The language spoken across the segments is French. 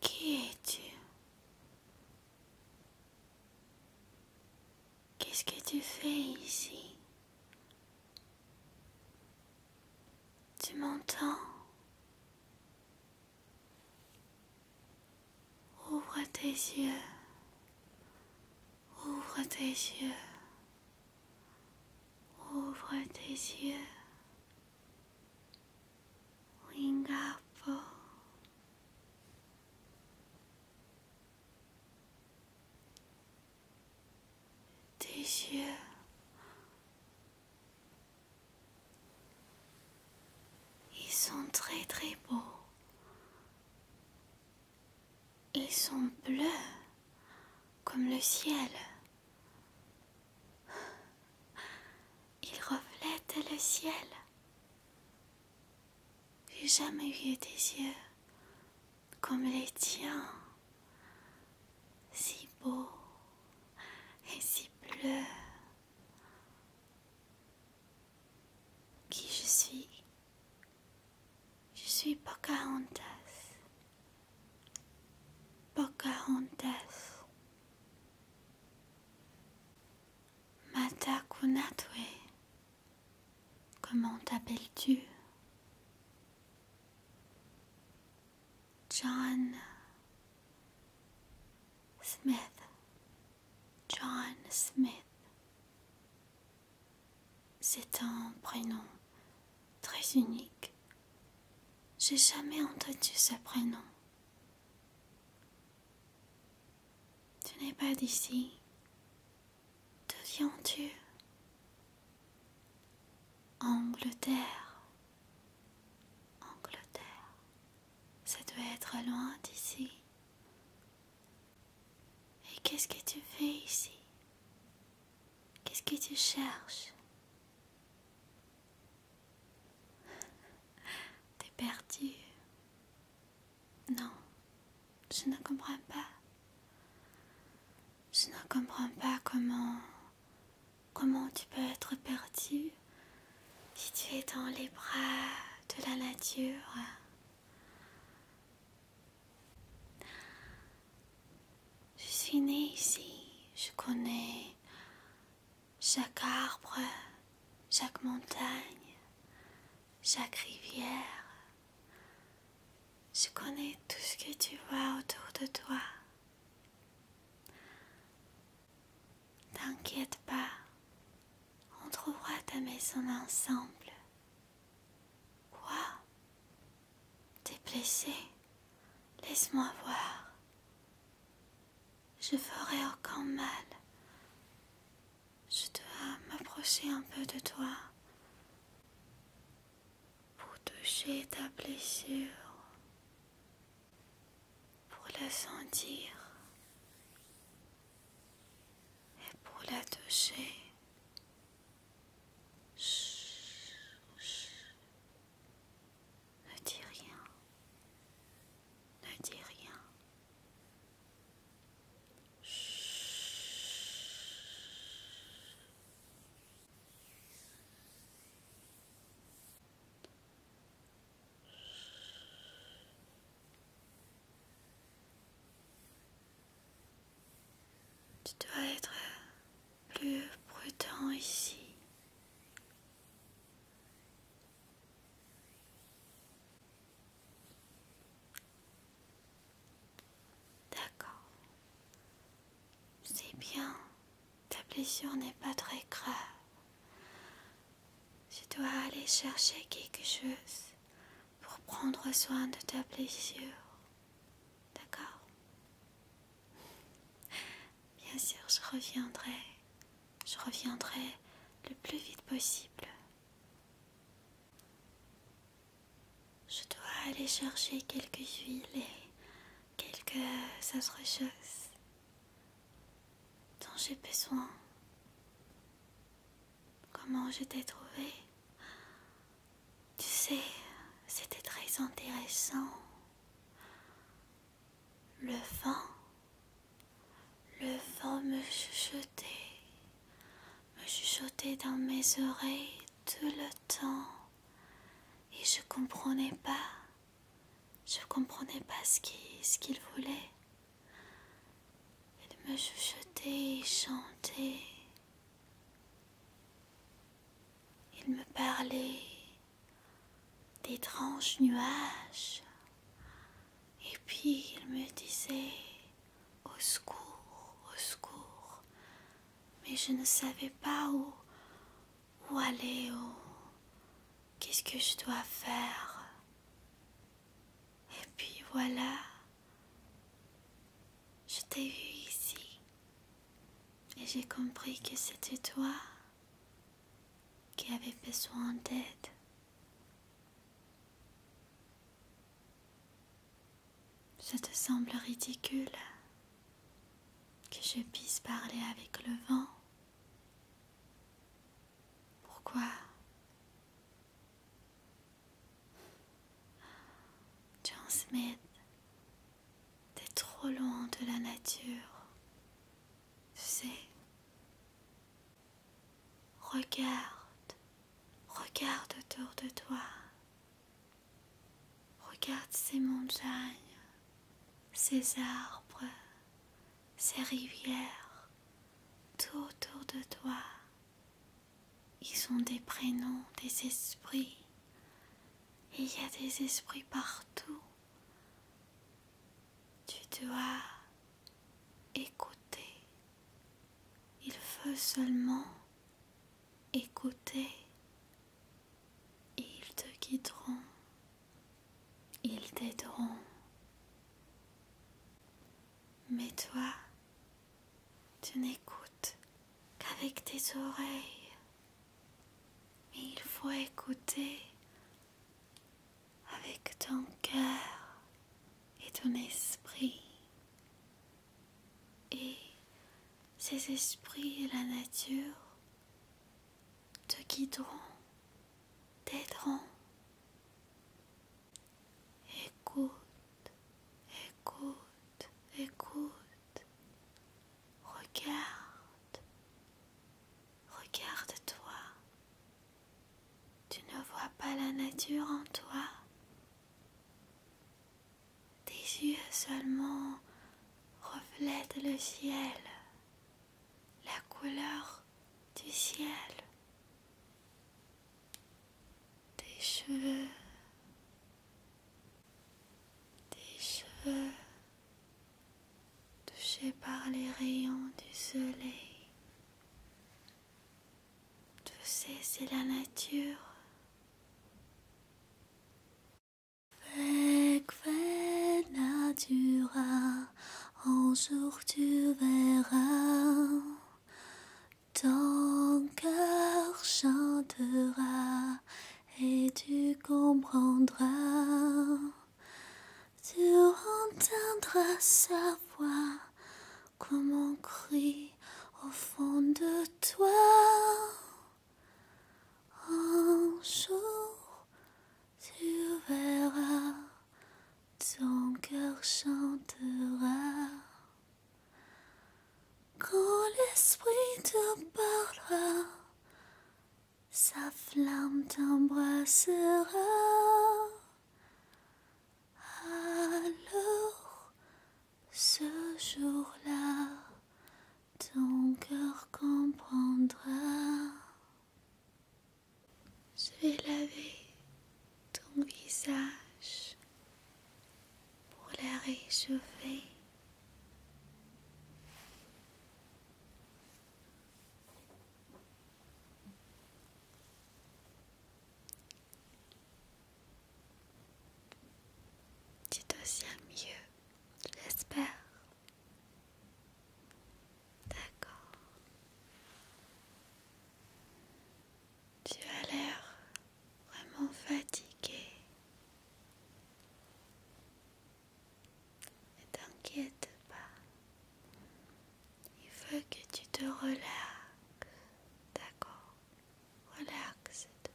Qui es-tu Qu'est-ce que tu fais ici Tu m'entends Ouvre tes yeux. Ouvre tes yeux. Ouvre tes yeux. Wingapo. Tes yeux. Ils sont très très beaux. Ils sont bleus comme le ciel. Ils reflètent le ciel. J'ai jamais eu des yeux comme les tiens, si beaux et si bleus. Qui je suis je suis Pocahontas. Pocahontas. Matakunatwe. Comment t'appelles-tu? John Smith. John Smith. C'est un prénom très unique. J'ai jamais entendu ce prénom. Tu n'es pas d'ici. Deviens-tu Angleterre. Angleterre. Ça doit être loin d'ici. Et qu'est-ce que tu fais ici Qu'est-ce que tu cherches T'es perdu. Non, je ne comprends pas. Je ne comprends pas comment comment tu peux être perdu si tu es dans les bras de la nature. Je suis née ici, je connais chaque arbre, chaque montagne, chaque rivière. Je connais tout ce que tu vois autour de toi. T'inquiète pas, on trouvera ta maison ensemble. Quoi T'es blessé Laisse-moi voir. Je ferai encore mal. Je dois m'approcher un peu de toi pour toucher ta blessure, pour la sentir et pour la toucher. Chut, Ne dis rien. Ne dis rien. Tu dois être plus prudent ici. D'accord. C'est bien. Ta blessure n'est pas très grave. Je dois aller chercher quelque chose pour prendre soin de ta blessure. D'accord Bien sûr, je reviendrai. Je reviendrai le plus vite possible. Je dois aller chercher quelques huiles et quelques autres choses dont j'ai besoin comment je t'ai trouvé. Tu sais, c'était très intéressant. Le vent, le vent me chuchotait, me chuchotait dans mes oreilles tout le temps. Et je comprenais pas, je comprenais pas ce qu'il voulait. Il me chuchotait et chantait. Il me parlait d'étranges nuages et puis il me disait au secours, au secours, mais je ne savais pas où, aller, où, qu'est-ce que je dois faire. Et puis voilà, je t'ai vu ici et j'ai compris que c'était toi qui avais besoin d'aide. Ça te semble ridicule que je puisse parler avec le vent Pourquoi John Smith, t'es trop loin de la nature. Tu regarde, regarde autour de toi. Regarde ces montagnes, ces arbres, ces rivières, tout autour de toi. Ils sont des prénoms, des esprits. il y a des esprits partout. Tu dois écouter. Il veut seulement écouter. Et ils te guideront. Ils t'aideront. Mais toi, tu n'écoutes qu'avec tes oreilles. Mais il faut écouter avec ton cœur et ton esprit. Et ces esprits et la nature te guideront, t'aideront. Écoute, écoute, écoute. Regarde, regarde-toi. Tu ne vois pas la nature en toi. Tes yeux seulement reflètent le ciel, la couleur du ciel tes cheveux, tes cheveux touchés par les rayons du soleil. tu sais, c'est la nature. en jour tu verras ton cœur chantera et tu comprendras. Tu entendras sa voix comme on crie au fond de toi. Un jour, tu verras, ton cœur chantera. Quand l'esprit te parlera, sa flamme t'embrassera. Alors, ce jour-là, ton cœur comprendra. Je vais laver ton visage pour la réchauffer. Tu te mieux, j'espère. D'accord. Tu as l'air vraiment fatigué ne t'inquiète pas il faut que tu te relaxes d'accord relaxe-toi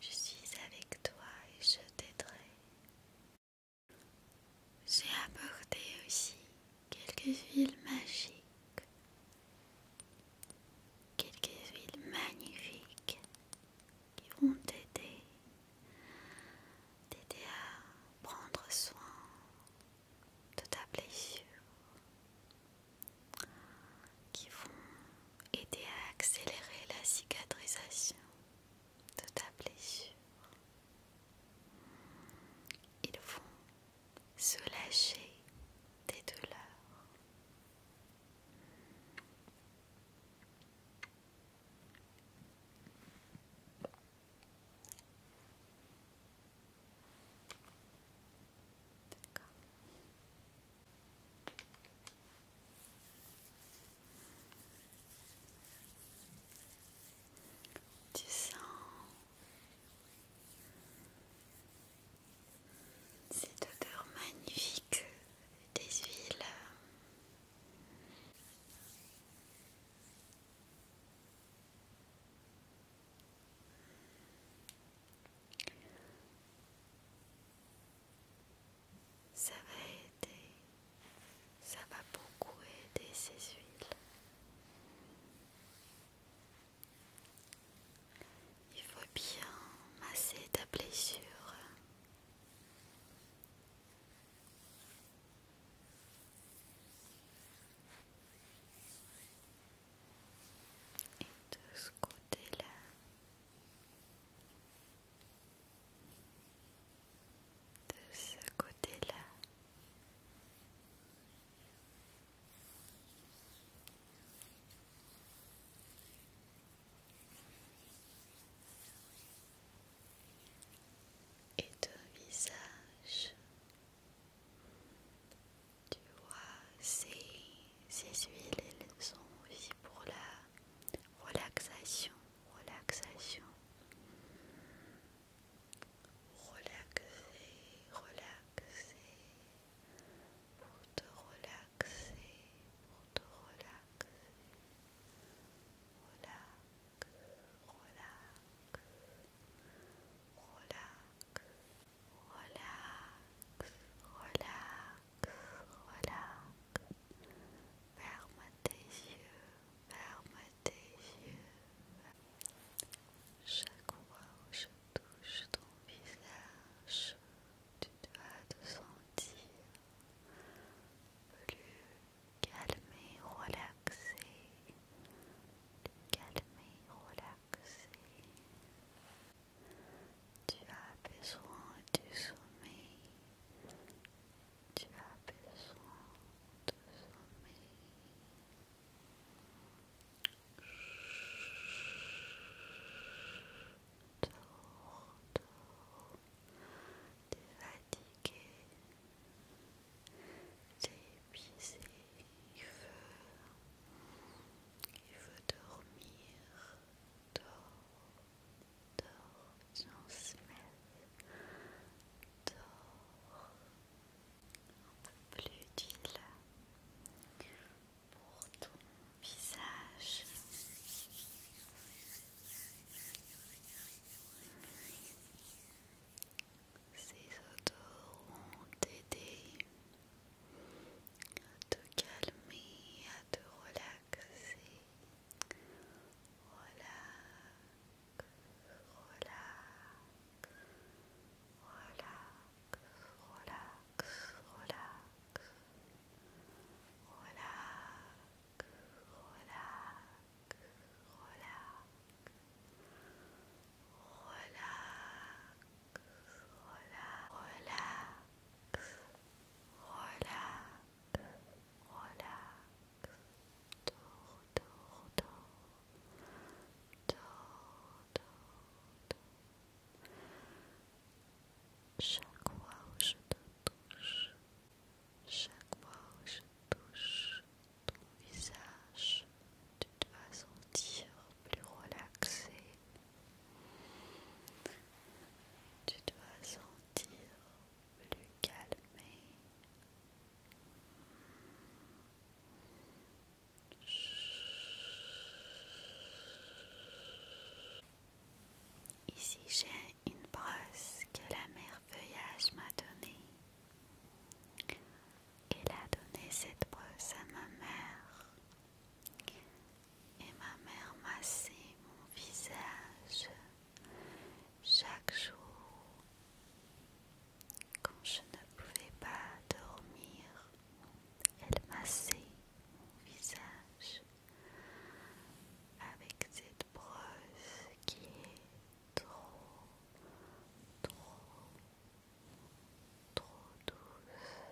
je suis avec toi et je t'aiderai j'ai apporté aussi quelques villes magiques, quelques villes magnifiques qui vont t'aider, t'aider à prendre soin de ta blessure, qui vont aider à accélérer la cicatrisation de ta blessure. Ils vont se lâcher des douleurs. Tu sens cette odeur magnifique des huiles. Ça va aider, ça va beaucoup aider ces huiles. Il faut bien masser ta blessure. Et de ce côté-là. De ce côté-là et ton visage. Tu vois, c'est ces huiles, elles sont aussi pour la relaxation, relaxation. Relaxer, relaxer relaxer, pour te relaxer, pour te relaxer. Relax, relax, relax, relax, relax, relax. Ferme tes yeux, ferme tes yeux. Chaque fois touche ton visage, tu dois te sentir plus calmer, relaxé, calmer, relaxé. Tu as besoin du sommeil, tu as besoin de sommeil. T'es fatigué, t'es épuisé, il veut, il veut dormir. Dors, dors, j'en smelle. Dors, un peu plus utile pour ton visage. Ces odeurs vont t'aider à te calmer, à te relaxer. Relax, relax, relax. relax, relax, relax, hola hola hola hola hola hola Chaque fois où je te touche, chaque fois où je touche ton visage, tu dois sentir plus relaxé. Tu dois sentir plus calmé. Ici j'ai une brosse que la merveillage m'a donnée. Elle a donné cette brosse à ma mère. Et ma mère massait mon visage chaque jour quand je ne pouvais pas dormir. Elle massait mon visage avec cette brosse qui est trop, trop, trop douce.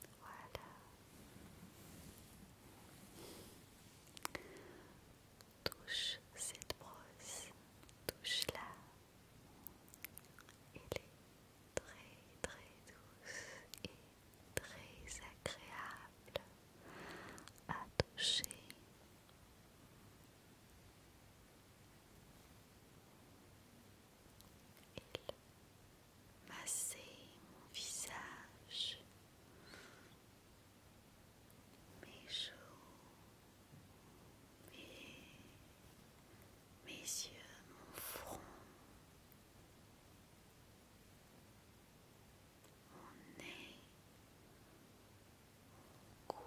Voilà touche cette brosse, touche-la. Elle est très très douce et très agréable à toucher. Il massait mon visage mes joues, mes, yeux, mon front, mon nez, mon cou.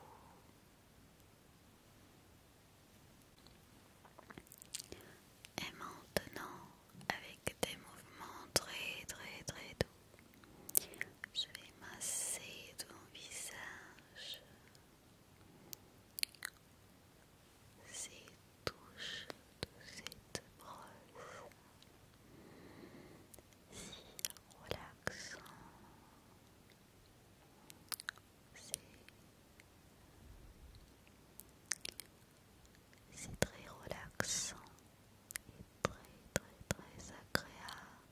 Et maintenant, avec des mouvements très très très doux, je vais masser ton visage. Ces touches de cette brosse si relaxant, c'est très relaxant et très très très agréable.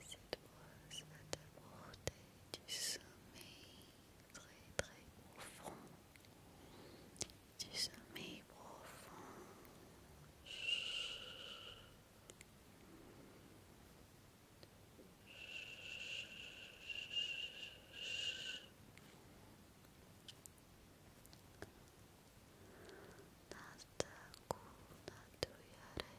Cette brosse va t'apporter du sommeil très très profond, du sommeil profond. Chut. Nasta ku na tu yare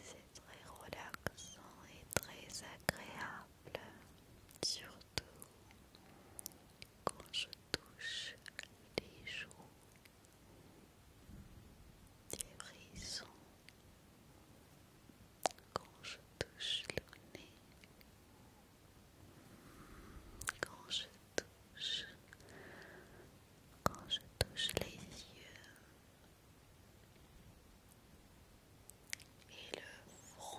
C'est très relaxant et très agréable, surtout quand je touche les joues, les frissons, quand je touche le nez, quand je touche quand je touche les yeux et le front.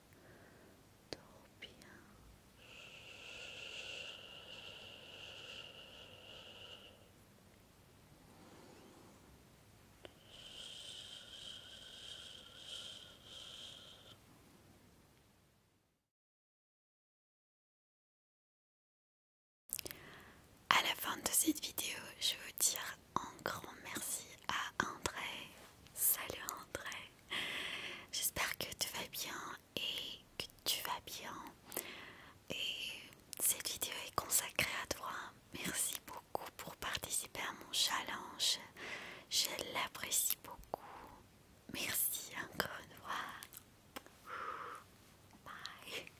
À la fin de cette vidéo, je veux dire un grand merci à André. Salut André. J'espère que tu vas bien et que tu vas bien. Et cette vidéo est consacrée à toi. Merci beaucoup pour participer à mon challenge. Je l'apprécie beaucoup. Merci encore une fois. Bye.